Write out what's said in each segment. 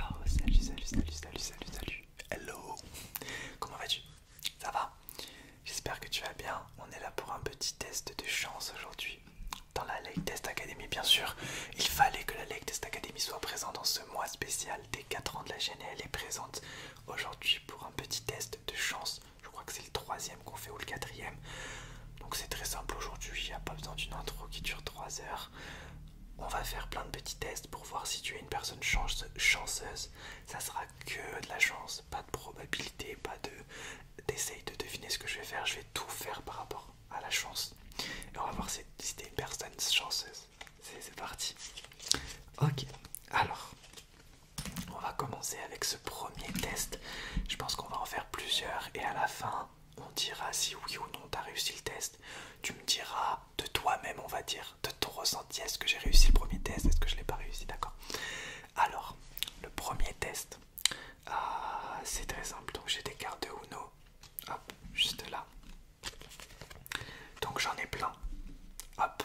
Oh, salut, salut, salut, salut, salut, salut. Hello. Comment vas-tu Ça va J'espère que tu vas bien. On est là pour un petit test de chance aujourd'hui. Dans la Lake Test Academy, bien sûr. Il fallait que la Lake Test Academy soit présente dans ce mois spécial des 4 ans de la chaîne et elle est présente aujourd'hui pour un petit test de chance. Je crois que c'est le troisième qu'on fait ou le quatrième. Donc c'est très simple aujourd'hui, il n'y a pas besoin d'une intro qui dure 3 heures. On va faire plein de petits tests pour voir si tu es une personne chanceuse. Ça sera que de la chance, pas de probabilité, pas de de deviner ce que je vais faire. Je vais tout faire par rapport à la chance. Et on va voir si, tu es une personne chanceuse. C'est parti. Ok, alors on va commencer avec ce premier test. Je pense qu'on va en faire plusieurs et à la fin on dira si oui ou non tu as réussi le test. Tu me diras de toi-même, on va dire, de ton ressenti, est-ce que j'ai réussi le premier test, est-ce que je l'ai pas réussi, d'accord Alors, le premier test, ah, c'est très simple. Donc j'ai des cartes de Uno, hop, juste là. Donc j'en ai plein. Hop,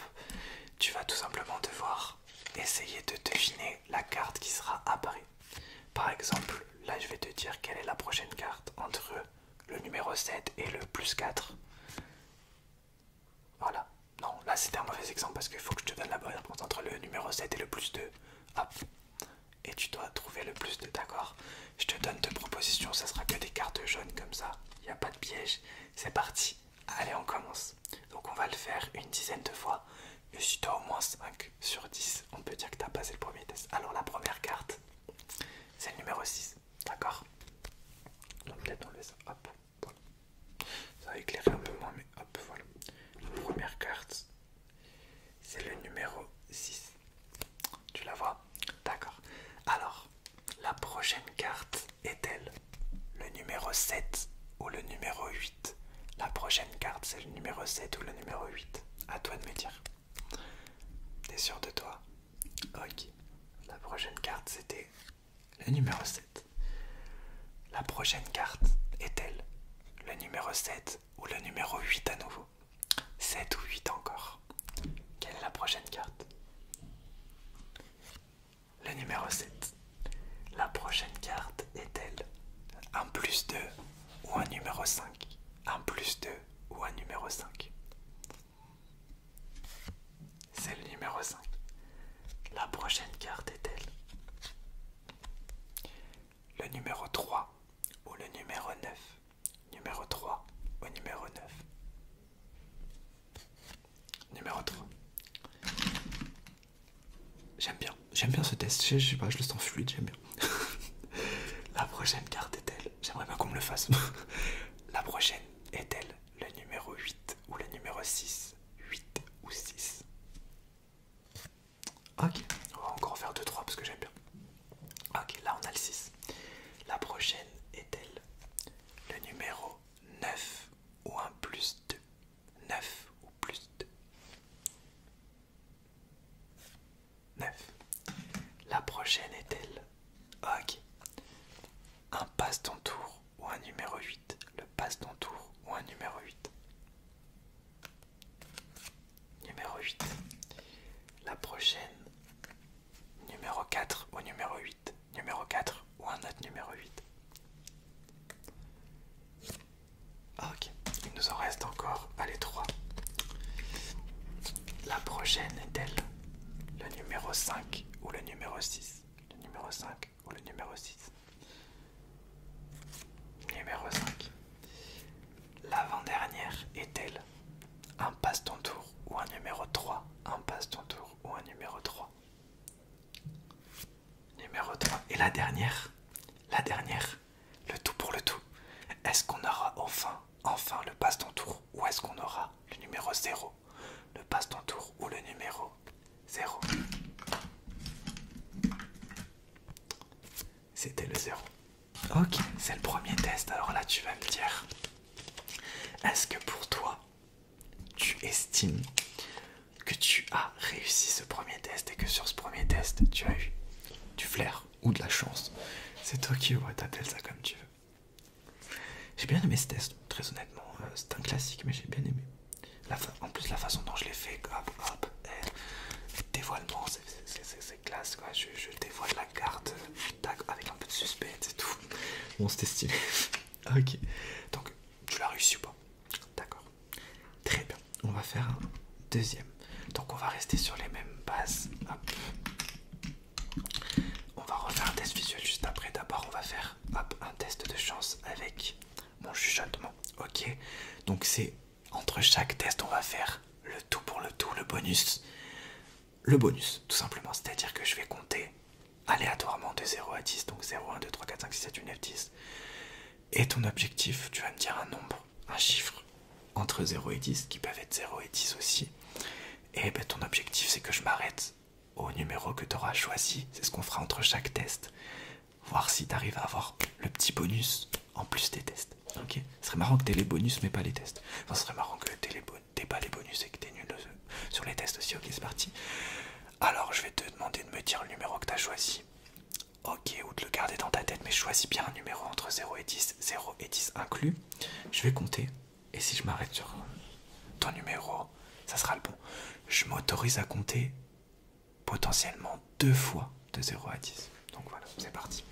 tu vas tout simplement devoir essayer de deviner la carte qui sera apparue par exemple, là je vais te dire quelle est la prochaine carte entre le numéro 7 et le plus 4. Voilà. Non, là c'était un mauvais exemple parce qu'il faut que je te donne la bonne réponse entre le numéro 7 et le plus 2. Hop. Et tu dois trouver le plus 2, d'accord Je te donne deux propositions, ça sera que des cartes jaunes comme ça. Il n'y a pas de piège. C'est parti. Allez, on commence. Donc on va le faire une dizaine de fois. mais si tu as au moins 5 sur 10, on peut dire que tu as passé le premier test. Alors la première carte, c'est le numéro 6, d'accord Donc peut-être enlever ça, hop, voilà. Ça va éclairer un peu moins, mais hop, voilà. La première carte, c'est le numéro 6. Tu la vois D'accord. Alors, la prochaine carte est-elle le numéro 7 ou le numéro 8 La prochaine carte, c'est le numéro 7 ou le numéro 8 À toi de me dire. T'es sûr de toi Ok. La prochaine carte, c'était le numéro 7. La prochaine carte est-elle le numéro 7 ou le numéro 8 à nouveau 7 ou 8 encore. Quelle est la prochaine carte Le numéro 7. La prochaine carte est-elle un plus 2 ou un numéro 5 Un plus 2 ou un numéro 5 C'est le numéro 5. La prochaine carte est-elle Le numéro 3 ou le numéro 9 Numéro 3 ou numéro 9 Numéro 3. J'aime bien, j'aime bien ce test, je sais pas, je le sens fluide, j'aime bien. La prochaine carte est-elle J'aimerais pas qu'on me le fasse. La prochaine est-elle le numéro 8 ou le numéro 6 8 ou 6 Ok, on va encore faire 2-3 parce que j'aime bien. Ok, là on a le 6. La prochaine est-elle le numéro 9 ou un plus 2 9 ou plus 2 9. La prochaine est-elle Ok. Un passe-ton tour ou un numéro 8 Le passe on tour ou un numéro 8 Numéro 8. La prochaine. Numéro 4 ou numéro 8 Numéro 4 ou un autre numéro 8 ah, ok, il nous en reste encore, allez trois. La prochaine est-elle le numéro 5 ou le numéro 6 Le numéro 5 ou le numéro 6 Numéro 5. L'avant-dernière est-elle un passe-ton tour ou un numéro 3 Un passe-ton tour ou un numéro 3 Numéro 3. Et la dernière La dernière le tout pour le tout. Est-ce qu'on aura enfin, enfin le passe ton tour ou est-ce qu'on aura le numéro 0 Le passe ton tour ou le numéro 0 C'était le zéro Ok, c'est le premier test. Alors là, tu vas me dire, est-ce que pour toi, tu estimes que tu as réussi ce premier test et que sur ce premier test, tu as eu du flair ou de la chance. C'est toi qui ouais, t'appelles ça comme tu veux. J'ai bien aimé ce test, très honnêtement. Euh, c'est un classique, mais j'ai bien aimé. En plus, la façon dont je l'ai fait, hop, hop, dévoilement, c'est classe quoi. Je, dévoile la carte avec un peu de suspect, et tout. Bon, c'était stylé. ok. Donc, tu l'as réussi ou pas D'accord. Très bien on va faire un deuxième. Donc on va rester sur les mêmes bases. On va refaire un test visuel juste après. D'abord, on va faire un test de chance avec mon chuchotement. Ok. Donc c'est entre chaque test, on va faire le tout pour le tout, le bonus. Le bonus, tout simplement. C'est-à-dire que je vais compter aléatoirement de 0 à 10. Donc 0, 1, 2, 3, 4, 5, 6, 7, 8, 9, 10. Et ton objectif, tu vas me dire un nombre un chiffre entre 0 et 10 qui peuvent être 0 et 10 aussi. Et ben, ton objectif c'est que je m'arrête au numéro que tu auras choisi. C'est ce qu'on fera entre chaque test. Voir si tu arrives à avoir le petit bonus en plus des tests. Ok Ce serait marrant que tu aies les bonus mais pas les tests. Enfin, ce serait marrant que tu aies pas les bonus et que tu es nul euh, sur les tests aussi. Ok, c'est parti. Alors, je vais te demander de me dire le numéro que tu as choisi. Ok, ou de le garder dans ta tête, mais choisis bien un numéro entre 0 et 10, 0 et 10 inclus. Je vais compter, et si je m'arrête sur ton numéro, ça sera le bon. Je m'autorise à compter potentiellement deux fois de 0 à 10. Donc voilà, c'est parti.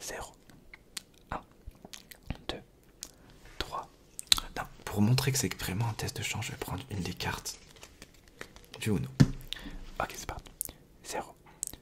0, 1, 2, 3. pour montrer que c'est vraiment un test de chance, je vais prendre une des cartes du non Ok, c'est parti. 0,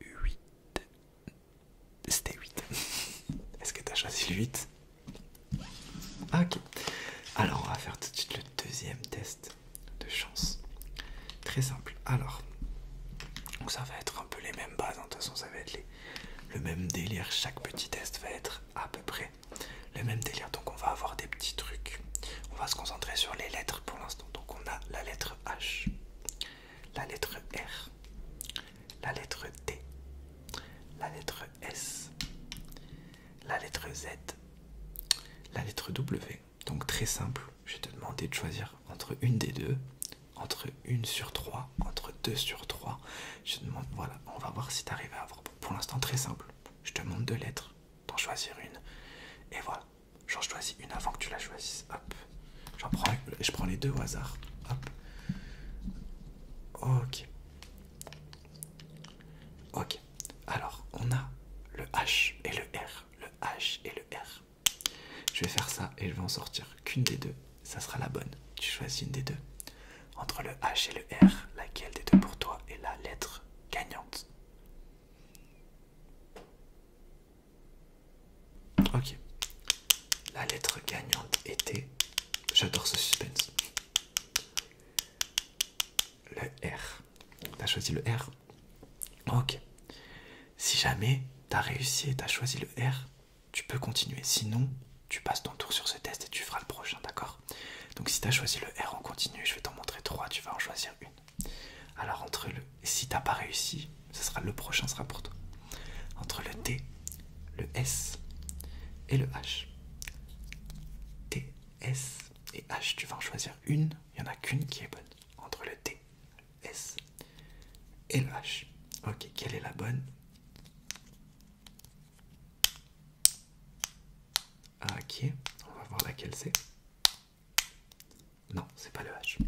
8. C'était 8. Est-ce que t'as choisi le 8 ah, Ok. Alors, on va faire tout de suite le deuxième test de chance. Très simple. Alors, donc ça va être un peu les mêmes bases. Hein. De toute façon, ça va être le même délire. Chaque petit test va être à peu près le même délire. Donc, on va avoir des petits trucs. On va se concentrer sur les lettres pour l'instant. Donc on a la lettre H, la lettre R, la lettre D, la lettre S, la lettre Z, la lettre W. Donc très simple, je vais te demander de choisir entre une des deux, entre une sur trois, entre deux sur trois. Je te demande, voilà, on va voir si tu arrives à avoir. Pour l'instant, très simple. Je te demande deux lettres, t'en choisir une, et voilà. J'en choisis une avant que tu la choisisses. Hop. J'en prends Je prends les deux au hasard. Hop. Ok. Ok. Alors, on a le H et le R. Le H et le R. Je vais faire ça et je vais en sortir qu'une des deux. Ça sera la bonne. Tu choisis une des deux. Entre le H et le R, laquelle des deux pour toi est la lettre gagnante Ok. La lettre gagnante était. J'adore ce suspense. Le R. T'as choisi le R Ok. Si jamais t'as réussi et t'as choisi le R, tu peux continuer. Sinon, tu passes ton tour sur ce test et tu feras le prochain, d'accord Donc si t'as choisi le R on continue, je vais t'en montrer trois, tu vas en choisir une. Alors entre le si t'as pas réussi, ce sera le prochain sera pour toi. Entre le T, le S et le H. T, S et H, tu vas en choisir une, il n'y en a qu'une qui est bonne. Entre le T, le S et le H. Ok, quelle est la bonne Ok, on va voir laquelle c'est. Non, c'est pas le H.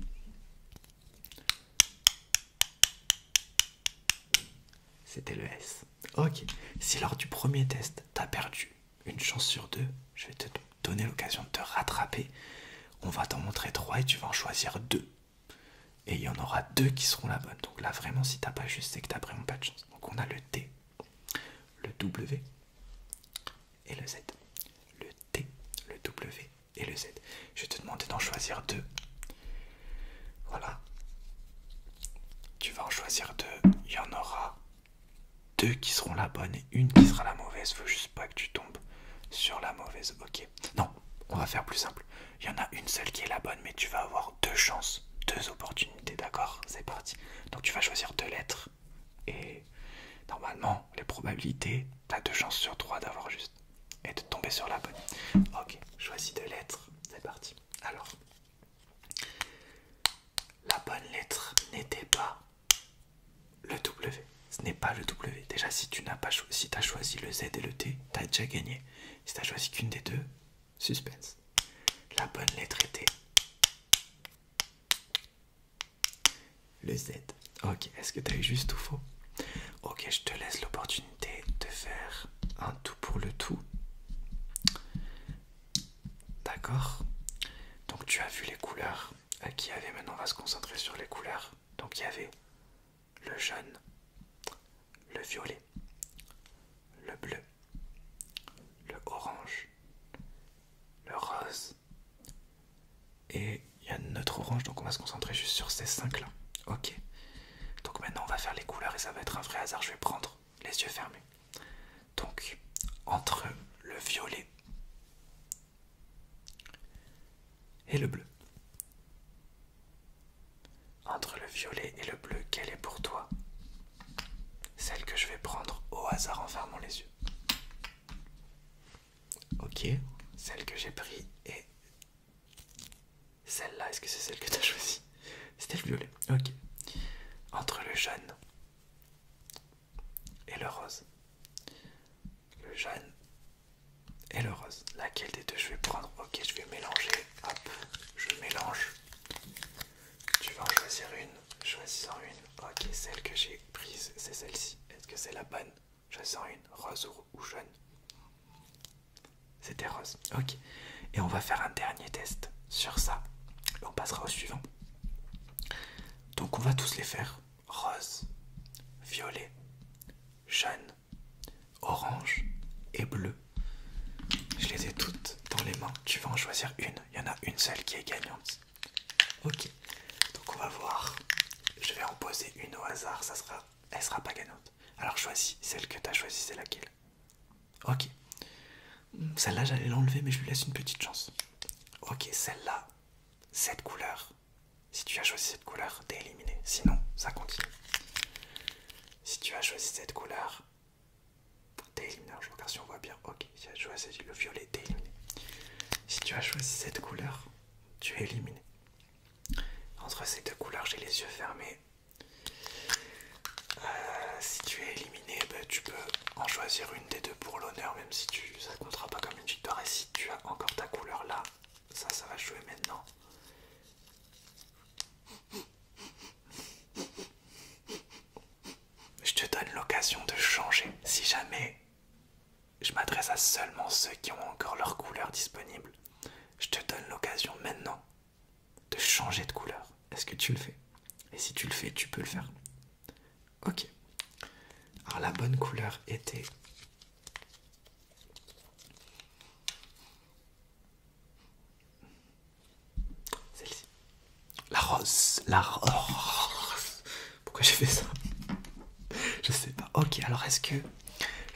C'était le S. Ok, si lors du premier test, t'as perdu une chance sur deux, je vais te donner l'occasion de te rattraper. On va t'en montrer trois et tu vas en choisir deux. Et il y en aura deux qui seront la bonne. Donc là, vraiment, si t'as pas juste, c'est que t'as vraiment pas de chance. Donc on a le T, le W, et le Z. Le T, le W et le Z. Je vais te demander d'en choisir deux. Voilà. Tu vas en choisir deux. Il y en aura deux qui seront la bonne et une qui sera la mauvaise. Faut juste pas que tu tombes sur la mauvaise. Ok. Non, on va faire plus simple. Il y en a une seule qui est la bonne, mais tu vas avoir deux chances, deux opportunités. D'accord C'est parti. Donc tu vas choisir deux lettres. Et normalement, les probabilités, t'as deux chances sur trois d'avoir juste et de tomber sur la bonne. Ok, choisis deux lettres, c'est parti. Alors, la bonne lettre n'était pas le W. Ce n'est pas le W. Déjà, si tu n'as pas choisi, si t'as choisi le Z et le T, as déjà gagné. Si as choisi qu'une des deux, suspense. La bonne lettre était le Z. Ok, est-ce que t'as eu juste ou faux Ok, je te laisse l'opportunité de faire un tout pour le tout. D'accord Donc tu as vu les couleurs euh, qu'il y avait. Maintenant, on va se concentrer sur les couleurs. Donc il y avait le jaune, le violet, le bleu, le orange, le rose, et il y a notre orange, donc on va se concentrer juste sur ces cinq là. Ok. Donc maintenant on va faire les couleurs et ça va être un vrai hasard. Je vais prendre les yeux fermés. Donc entre le violet et le bleu. Entre le violet et le bleu, quelle est pour toi celle que je vais prendre au hasard en fermant les yeux Ok, celle que j'ai pris est celle-là. Est-ce que c'est celle que tu as choisi C'était le violet. Ok. Entre le jaune et le rose. Le jaune et le rose. Laquelle des deux je vais prendre Ok, je vais mélanger. Hop, je mélange. Tu vas en choisir une. Choisis en une. Ok, celle que j'ai prise, c'est celle-ci. Est-ce que c'est la bonne Choisis en une. Rose ou, jaune C'était rose. Ok. Et on va faire un dernier test sur ça. on passera au suivant. Donc on va tous les faire. Rose, violet, jaune, orange et bleu. Je les ai toutes dans les mains. Tu vas en choisir une. Il y en a une seule qui est gagnante. Ok, donc on va voir. Je vais en poser une au hasard, ça sera... elle sera pas gagnante. Alors choisis, celle que tu as choisie, c'est laquelle Ok. Celle-là, j'allais l'enlever, mais je lui laisse une petite chance. Ok, celle-là, cette couleur. Si tu as choisi cette couleur, t'es éliminé. Sinon, ça continue. Si tu as choisi cette couleur, t'es éliminé. Je regarde si on voit bien. Ok si tu as choisi le violet, es éliminé. Si tu as choisi cette couleur, tu es éliminé. Entre ces deux couleurs, j'ai les yeux fermés. Euh, si tu es éliminé, bah, tu peux en choisir une des deux pour l'honneur, même si tu, ne comptera pas comme une victoire. Et si tu as encore ta couleur là, ça, ça va jouer maintenant je te donne l'occasion de changer. Si jamais je m'adresse à seulement ceux qui ont encore leur couleur disponible, je te donne l'occasion maintenant de changer de couleur. Est-ce que tu le fais Et si tu le fais, tu peux le faire. Ok. Alors la bonne couleur était... Celle-ci. La rose, la rose. Pourquoi j'ai fait ça Je sais pas. Ok, alors est-ce que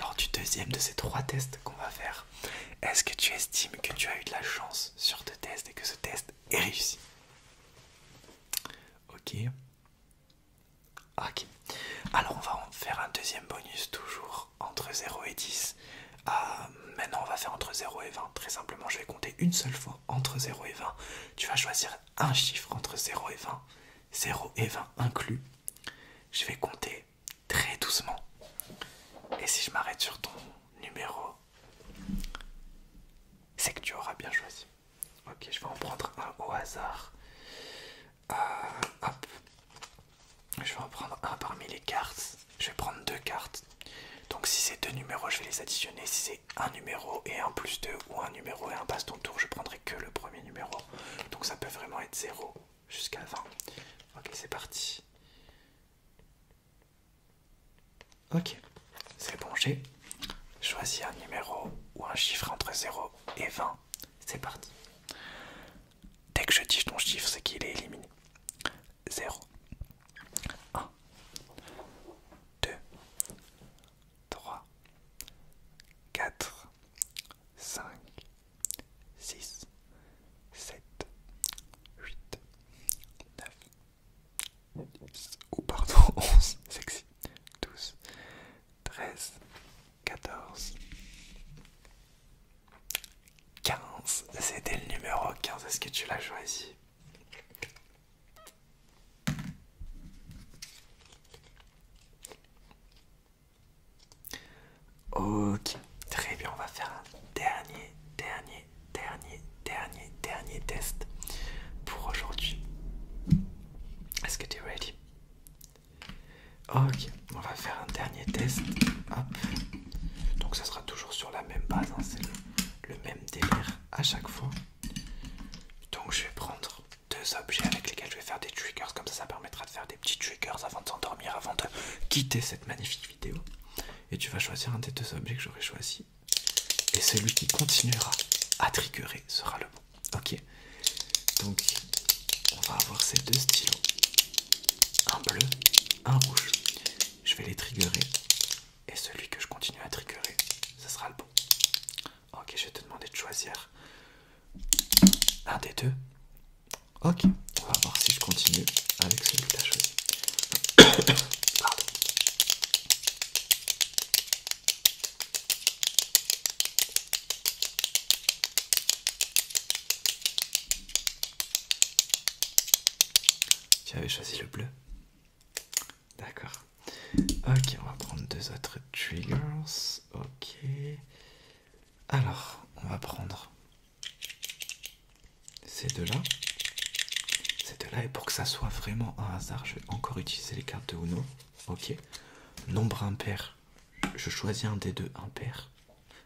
lors du deuxième de ces trois tests qu'on va faire, est-ce que tu estimes que tu as eu de la chance sur ce test et que ce test est réussi Ok. Ok. Alors on va faire un deuxième bonus toujours entre 0 et 10. Euh, maintenant on va faire entre 0 et 20. Très simplement, je vais compter une seule fois entre 0 et 20. Tu vas choisir un chiffre entre 0 et 20. 0 et 20 inclus. Je vais compter très doucement. Et si je m'arrête sur ton numéro, c'est que tu auras bien choisi. Ok, je vais en prendre un au hasard. Euh, je vais en prendre un parmi les cartes. Je vais prendre deux cartes. Donc si c'est deux numéros, je vais les additionner. Si c'est un numéro et un plus deux ou un numéro et un passe ton tour, je prendrai que le premier numéro. Donc ça peut vraiment être 0 jusqu'à 20. Ok, c'est parti. Ok, c'est bon, j'ai choisi un numéro ou un chiffre entre 0 et 20. C'est parti. Dès que je dis ton chiffre, c'est qu'il est éliminé. 0, 1, 2, 3, 4, 5, 6, 7, 8, 9, 10, ou pardon, 11, sexy, 12, 13, 14, 15, c'était le numéro 15, est-ce que tu l'as choisi Ok, très bien, on va faire un dernier, dernier, dernier, dernier, dernier test pour aujourd'hui. Est-ce que tu es ready? Ok, on va faire un dernier test. Donc ça sera toujours sur la même base, hein, c'est le, le même délire à chaque fois. Donc je vais prendre deux objets avec lesquels je vais faire des triggers, comme ça ça permettra de faire des petits triggers avant de s'endormir, avant de quitter cette magnifique vidéo. Et tu vas choisir un des deux objets que j'aurais choisi. Et celui qui continuera à triggerer sera le bon. Ok. Donc on va avoir ces deux stylos. Un bleu, un rouge. Je vais les triggerer et celui que je continue à tricoter, ce sera le bon. Ok, je vais te demander de choisir un des deux. Ok, on va voir si je continue avec celui que tu as choisi. Pardon. Tu avais choisi le bleu. D'accord. Ok, on va prendre deux autres triggers. Ok. Alors, on va prendre ces deux-là. Ces deux-là. Et pour que ça soit vraiment un hasard, je vais encore utiliser les cartes de Uno. Ok. Nombre impair. Je choisis un des deux impair.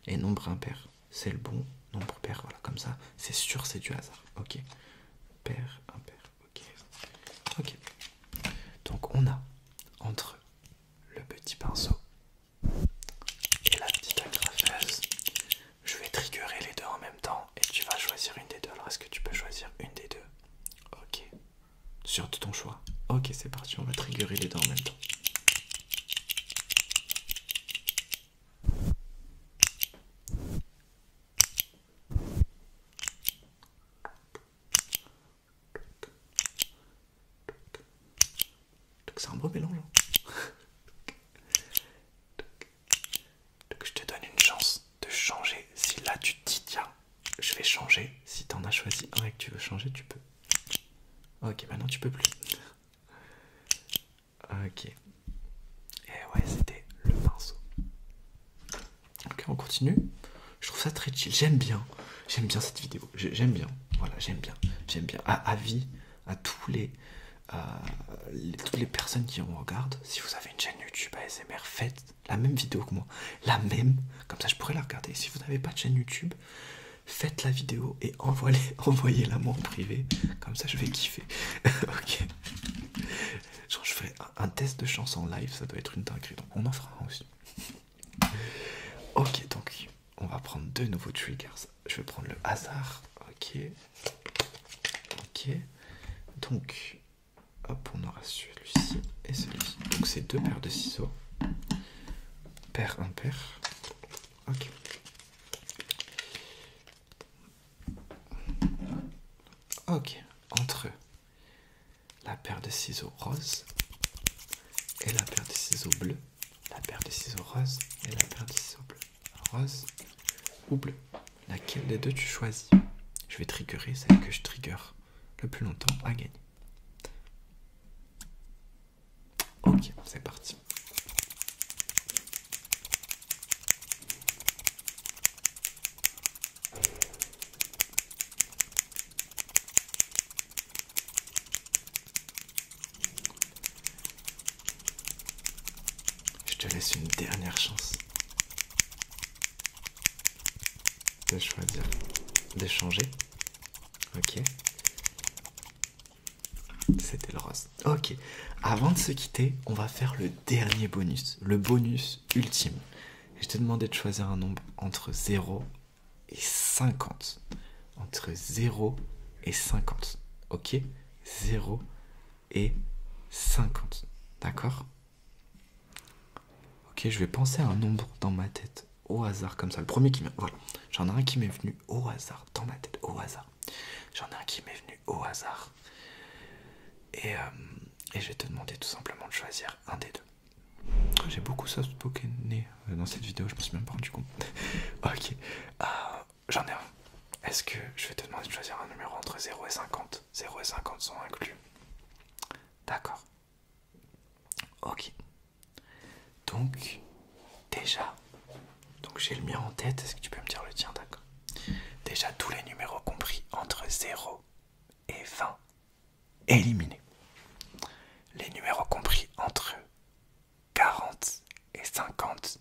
Et nombre impair, c'est le bon. Nombre pair, voilà, comme ça. C'est sûr, c'est du hasard. Ok. Ok. Donc on a entre le petit pinceau et la petite agrafeuse. Je vais triggerer les deux en même temps et tu vas choisir une des deux. Alors est-ce que tu peux choisir une des deux Ok. Sur ton choix. Ok, c'est parti, on va triggerer les deux en même temps. Donc c'est un beau mélange. Donc hein. je te donne une chance de changer. Si là tu te dis tiens, je vais changer. Si t'en as choisi un et que tu veux changer, tu peux. Ok, maintenant tu peux plus. Ah, ok. Et eh ouais, c'était le pinceau. Ok, on continue. Je trouve ça très chill. J'aime bien. J'aime bien cette vidéo. J'aime bien. Voilà, j'aime bien. J'aime bien. À avis à tous les, euh, toutes les personnes qui en regardent. Si vous avez une chaîne YouTube ASMR, faites la même vidéo que moi. La même. Comme ça, je pourrais la regarder. Si vous n'avez pas de chaîne YouTube, faites la vidéo et envoyez-la moi en privé. Comme ça, je vais kiffer. ok je ferai un, test de chance en live, ça doit être une dinguerie, donc on en fera un aussi. Ok, donc on va prendre deux nouveaux triggers. Je vais prendre le hasard. Ok. Ok. Donc, hop, on aura celui-ci et celui-ci. Donc, c'est deux paires de ciseaux. Paire, impair. Ok. Ok, entre la paire de ciseaux rose et la paire de ciseaux bleus. La paire de ciseaux rose et la paire de ciseaux bleu. Rose ou bleu. Laquelle des deux tu choisis Je vais triggerer celle que je trigger le plus longtemps à gagner. Ok, c'est parti. Je te laisse une dernière chance de choisir d'échanger. Ok. C'était le rose. Ok. Avant de se quitter, on va faire le dernier bonus, le bonus ultime. Je te demandé de choisir un nombre entre 0 et 50. Entre 0 et 50. Ok 0 et 50. D'accord Ok, je vais penser à un nombre dans ma tête au hasard comme ça. Le premier qui m'est... Voilà. J'en ai un qui m'est venu au hasard dans ma tête au hasard. J'en ai un qui m'est venu au hasard. Euh, et, je vais te demander tout simplement de choisir un des deux. J'ai beaucoup soft pokémon euh, dans cette vidéo, je pense même pas rendu compte. ok, euh, j'en ai un. Est-ce que je vais te demander de choisir un numéro entre 0 et 50 0 et 50 sont inclus. D'accord. Ok. Donc, déjà, donc j'ai le mien en tête. Est-ce que tu peux me dire le tien D'accord. Déjà tous les numéros compris entre 0 et 20 éliminés. Les numéros compris entre 40 et 50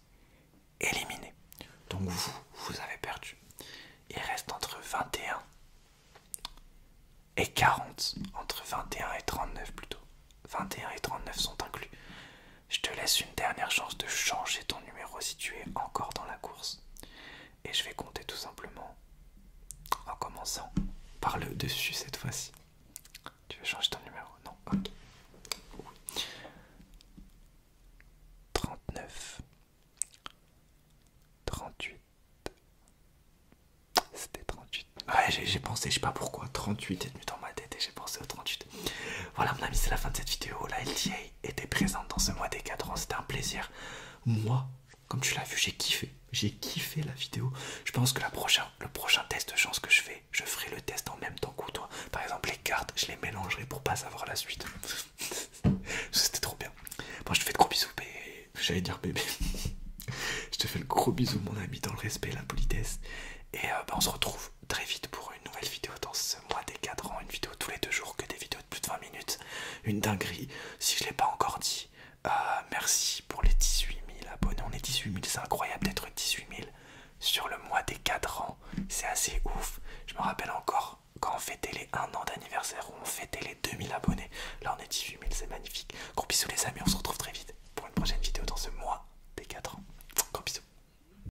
éliminés. Donc vous, vous avez perdu. Il reste entre 21 et 40, entre 21 et 39 plutôt. 21 et 39 sont inclus. Je te laisse une dernière chance de changer ton numéro si tu es encore dans la course. Et je vais compter tout simplement en commençant par le dessus cette fois-ci. Tu veux changer ton numéro Non Ok. 39. 38. C'était 38. Ouais, j'ai pensé, je sais pas pourquoi, 38 est venu dans ma tête et j'ai pensé au 38. Voilà, mon ami, c'est la fin de cette vidéo. La LTA était présente dans ce mois des 4 ans. C'était un plaisir. Moi, comme tu l'as vu, j'ai kiffé. J'ai kiffé la vidéo. Je pense que la prochaine, le prochain test de chance que je fais, je ferai le test en même temps que toi. Par exemple, les cartes, je les mélangerai pour pas savoir la suite. C'était trop bien. Bon, je te fais de gros bisous, bébé. J'allais dire bébé. je te fais le gros bisou, mon ami, dans le respect et la politesse. Et euh, bah, on se retrouve très vite pour une nouvelle vidéo dans ce mois des 4 ans, une vidéo tous les deux jours, que des vidéos de plus de 20 minutes, une dinguerie, si je ne l'ai pas encore dit, euh, merci pour les 18 000 abonnés, on est 18 000, c'est incroyable d'être 18 000 sur le mois des 4 ans, c'est assez ouf, je me rappelle encore quand on fêtait les 1 an d'anniversaire, on fêtait les 2000 abonnés, là on est 18 000, c'est magnifique, gros bisous les amis, on se retrouve très vite pour une prochaine vidéo dans ce mois des 4 ans, gros bisous.